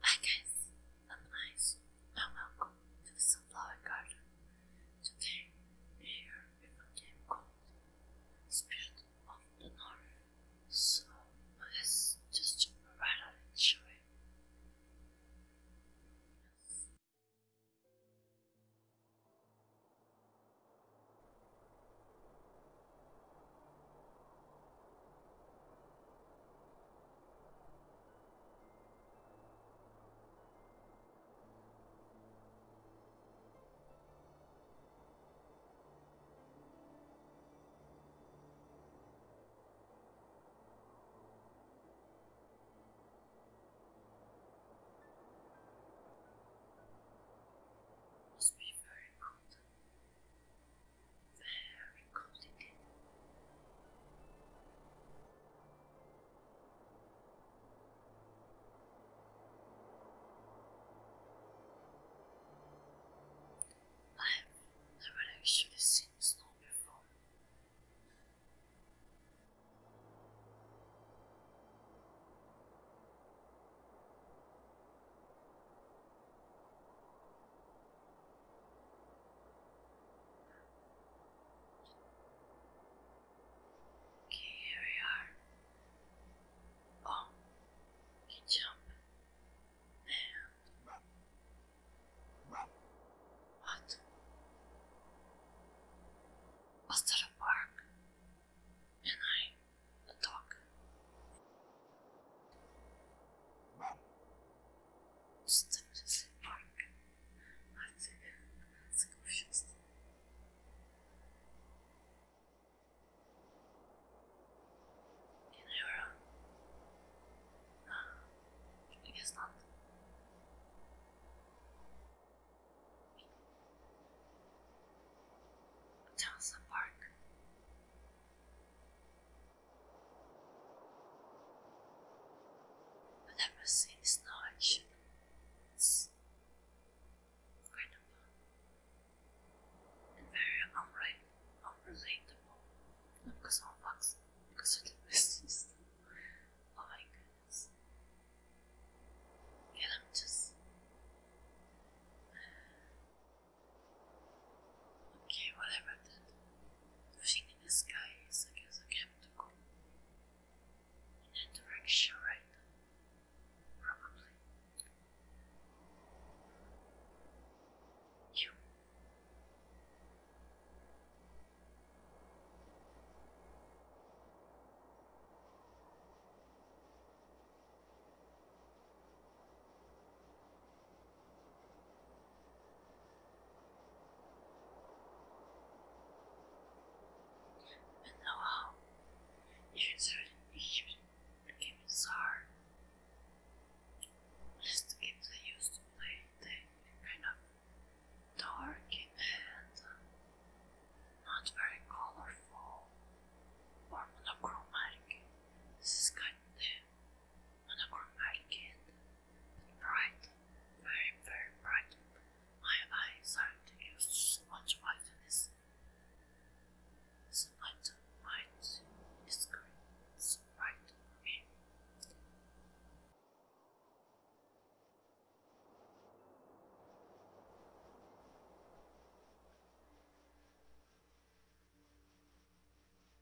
Hi guys, I'm Ice and welcome to the Sunflower Garden. Today we're here with a game called Spirit of the North. So let's just jump right on and show must be very cold very complicated. I've never actually seen snow before. Okay, here we are. Oh, you jump. Man. What? Was that a bark? And I, a dog. Stamets Park artık sıkmışız. İniyorum. I guess not. Townsend Park. I've never seen this large. It's incredible very unrel unrelatable. Not because I'm box, because of the business. oh my goodness. Yeah, I'm just. Okay, whatever that thing in the sky is, I guess I have to go in that direction, right? Probably. You. But no how. It is really huge. The game is hard. used to play, they kind of dark and uh, not very colorful or monochromatic. This on a warm weekend. But bright, very, very bright. My eyes aren't used to much brightness. This light, light is green. It's bright for me.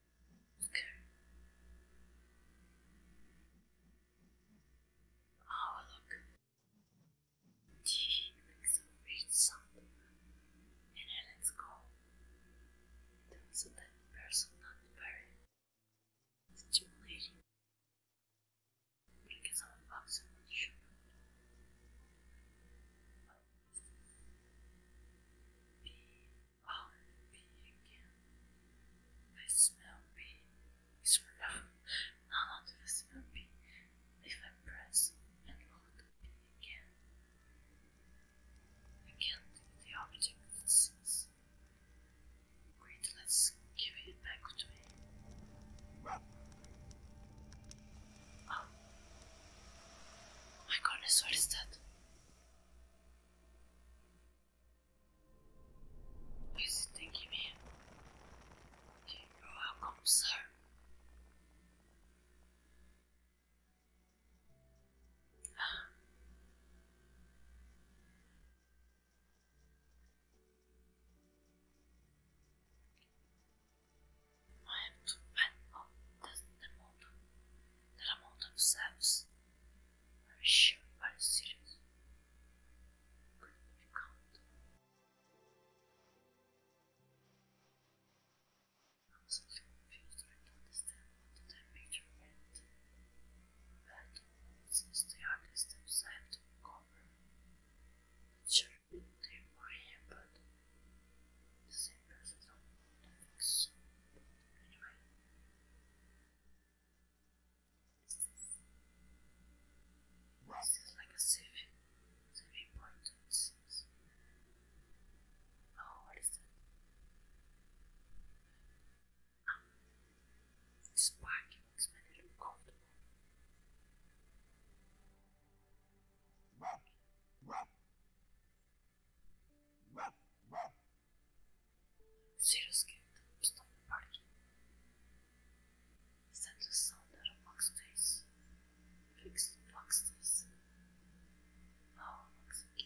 Okay. Oh, look. Gee, makes a weird sound. And Helen's gone. There was a person not very stimulating. Because I'm a not sure. I'll be again. I smell pee. Smell. Now not smell pee. If I press and look at pee again, the object it sees. let's give it back to me. Oh. My goodness, what is that? You stinky man. You're welcome, sir. I have to admit oh, at the moment that I'm all themselves. Russia are serious. Could we count? I'm so confused, I don't understand what the major meant. But since they are the steps I have to they were here, the same person don't Wow. This is like a saving, saving point. Oh, what is that? Ah, um, this bike makes me a little comfortable. Wow. Wow. 0 skipped stop party. Send the sounder amongst days. Fix amongst days. Now amongst it.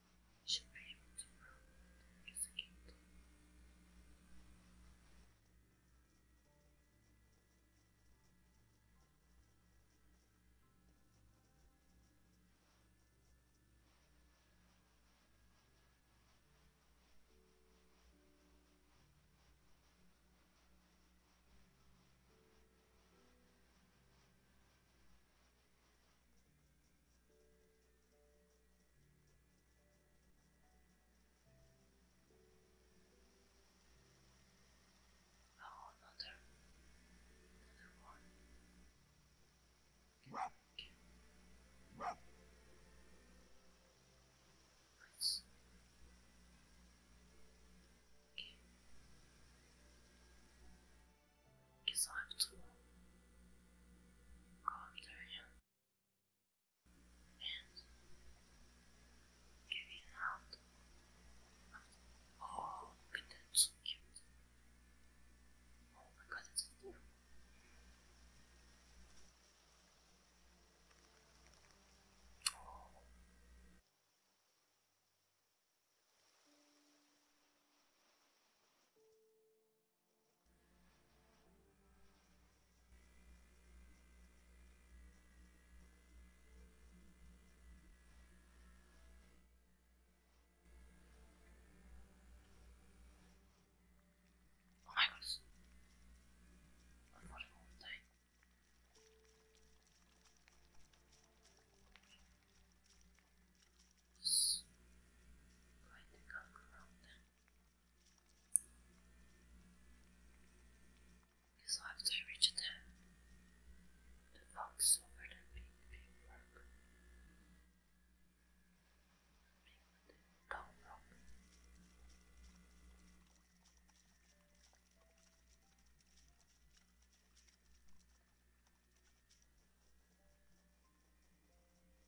should be able to prove his guilt. Oh, another, another one. Nice. Okay is life too long? Calm down and giving Oh, look so cute. Oh my god, it's adorable. Oh. Oh my gosh. I'm falling all the time. Just going to come around Because after I reach them, the box over the big, big rock, big long rock. Now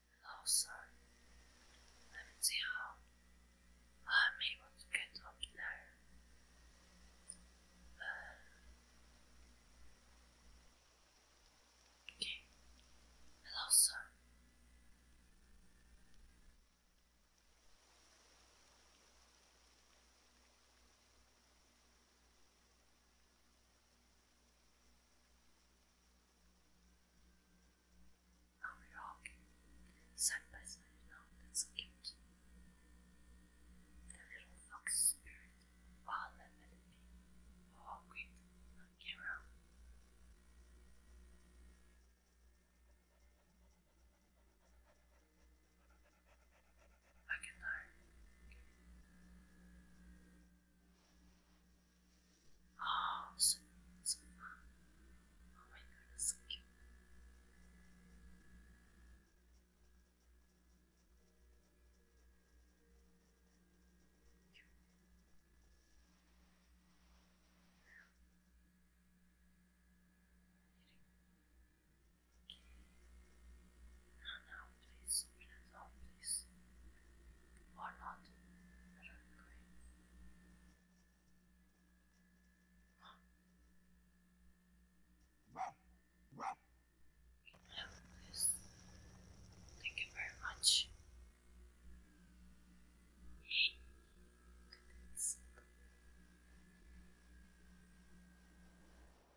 Also, oh, let me see how I'm able to get up now. Uh, okay. Hello, sir. Now we're walking by side. Now that's cute. The little fox spirit while limited me walking on I can die. Oh, so, so Oh my goodness, so Cute. Run out, please. Run please. Or not. Thank you very much.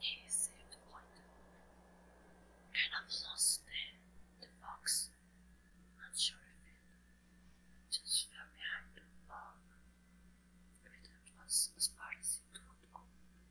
He saved one and I've lost the, the box. Not sure if it just fell behind the bar. If it was as far as it could go.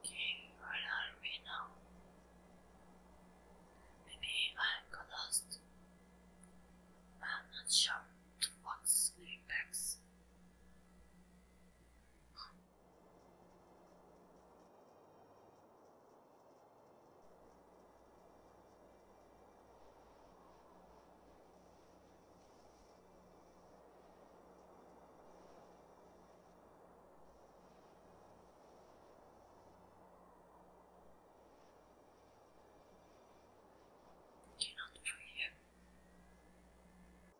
Okay, where are we now? Maybe I got lost. I'm not sure to what's the impacts. You're not free.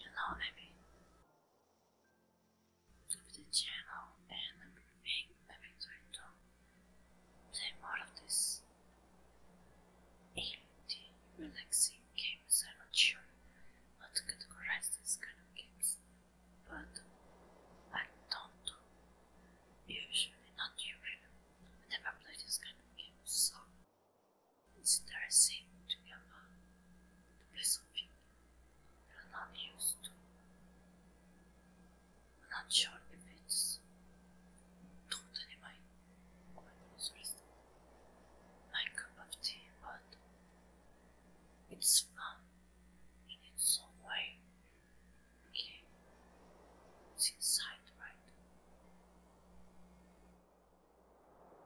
You know what I channel and I'm being, I'm trying to play more of this indie relaxing games. I'm not sure how to categorize these kind of games, but I don't usually, not usually, I never play these kind of games, so. It's interesting to be able to play not used to. I'm not sure if it's totally my, my interest, my cup but it's fun in its own way. Okay, it's inside, right?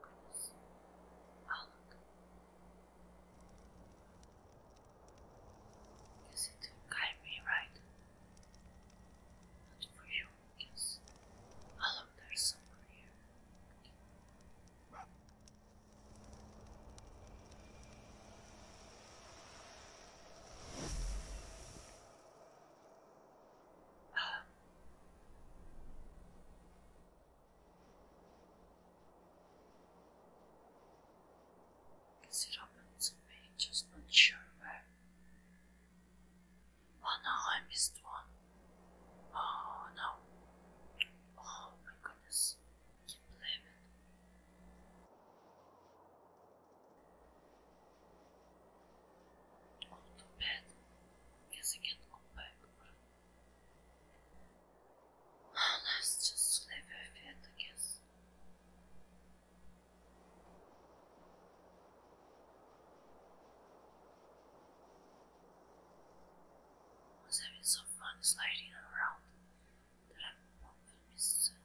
Close. Oh, look. Yes, it will guide me right. Not for you, yes. Oh, look, there's somewhere here. Um, okay. Is it open to me? Just not sure where. Oh no, I missed one. Oh no. Oh my goodness. I can Oh, too bad. Guess I can't go back. Oh, let just leave her here, I oh, I was having so fun sliding around that I won't miss it.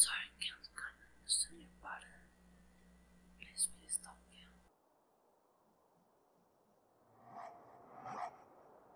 Sorry, can't understand your pattern. Please, please stop me.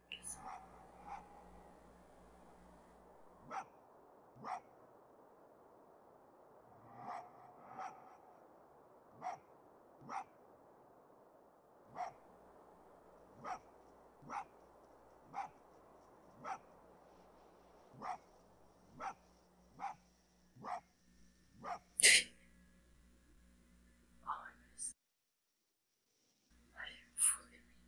All of this I am fooling me.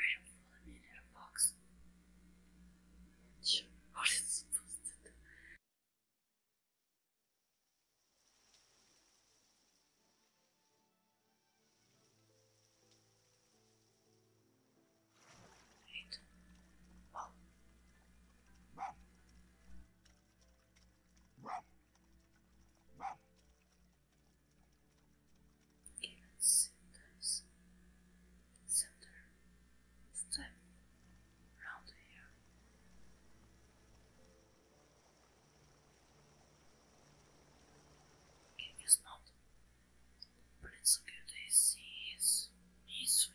I am fooling me in a box. I'm not supposed to do. Eight. Wow. Wow. Wow. Even sometimes, center step round here. It is not. Prince Gude sees me swimming.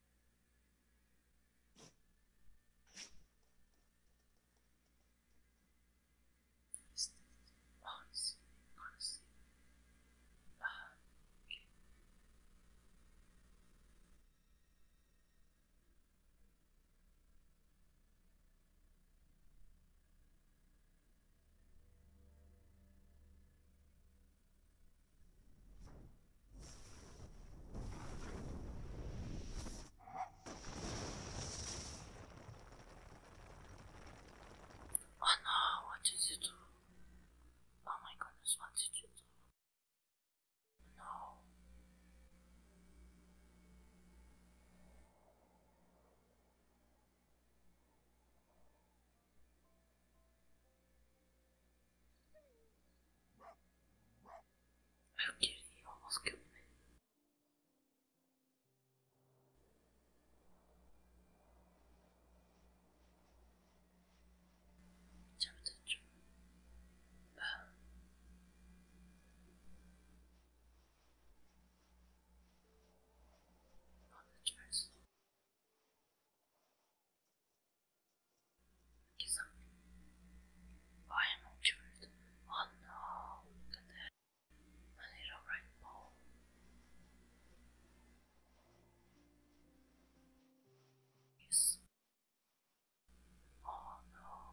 This thing, honestly, honestly, uh, okay. Oh no, what did you do? Oh my goodness, what did you do? No. I'm Oh dear, he almost killed me. Temperature. Uh. Oh, that's very slow. I am injured. Oh no, look I need a right Yes. Oh no.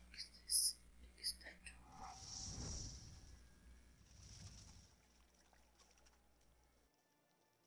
What is this? Big statue.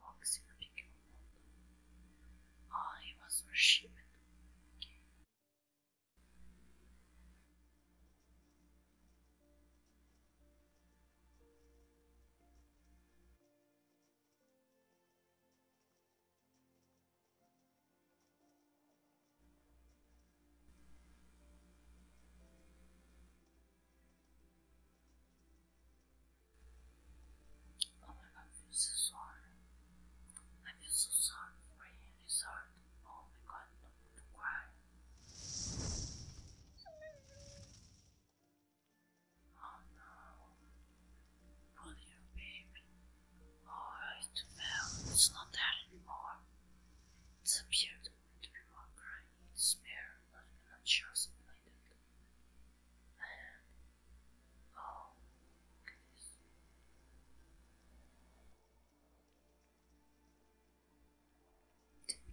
boxing ring I was worshipped again. Oh my god, I feel so sorry. I feel so sorry for him. It's Oh my god, don't, don't cry. Oh no. Poor little baby. Oh, It's not there anymore. It's appeared to be more crying in despair, not even anxious and blinded. And Oh, goodness. Did we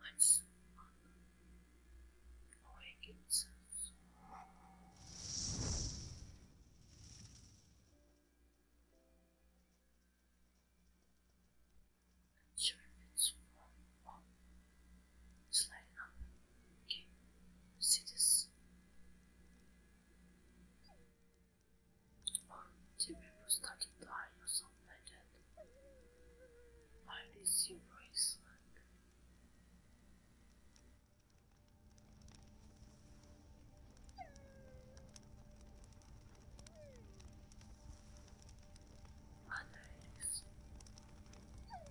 once on awake itself. And sure it's up, um, see this to Ciebie postaki dają są legend. I miss you, Iceland. Anais. Anais.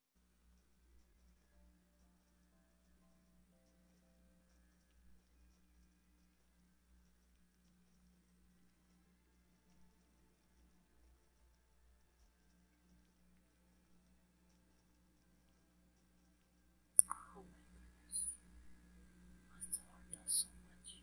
Oh my goodness. I thought so much.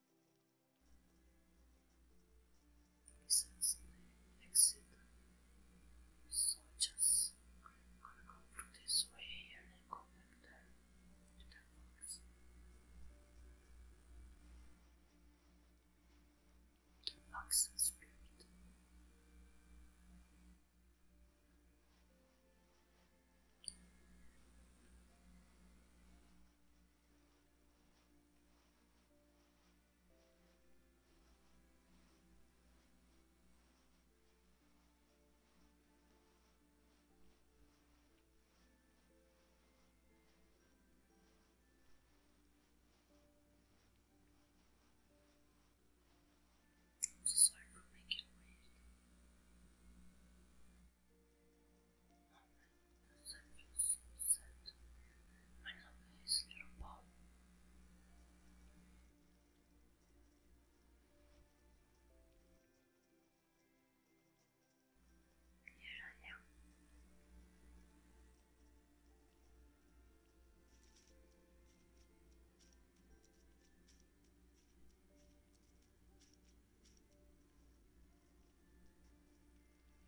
Reasons may exist such as gonna this way and go back there to the forest. spirit. I'm sorry for making noise. Something so sad. little paw. Here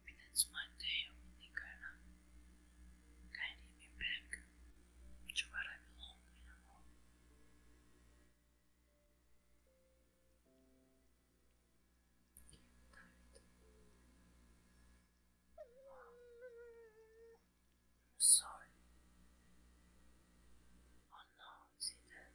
Maybe that's my day I'm only gonna guide me back to where I belong in a moment. sorry. Oh no, see that?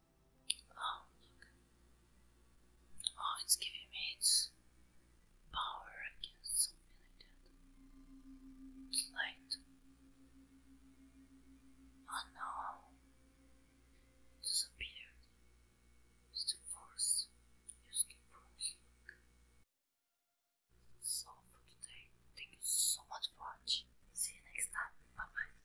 Oh, look. Oh, it's giving me its power against something like that. Light. Oh no. disappeared. It's the force. Just keep pushing. So today, thank you so much for watching. See you next time. Bye bye.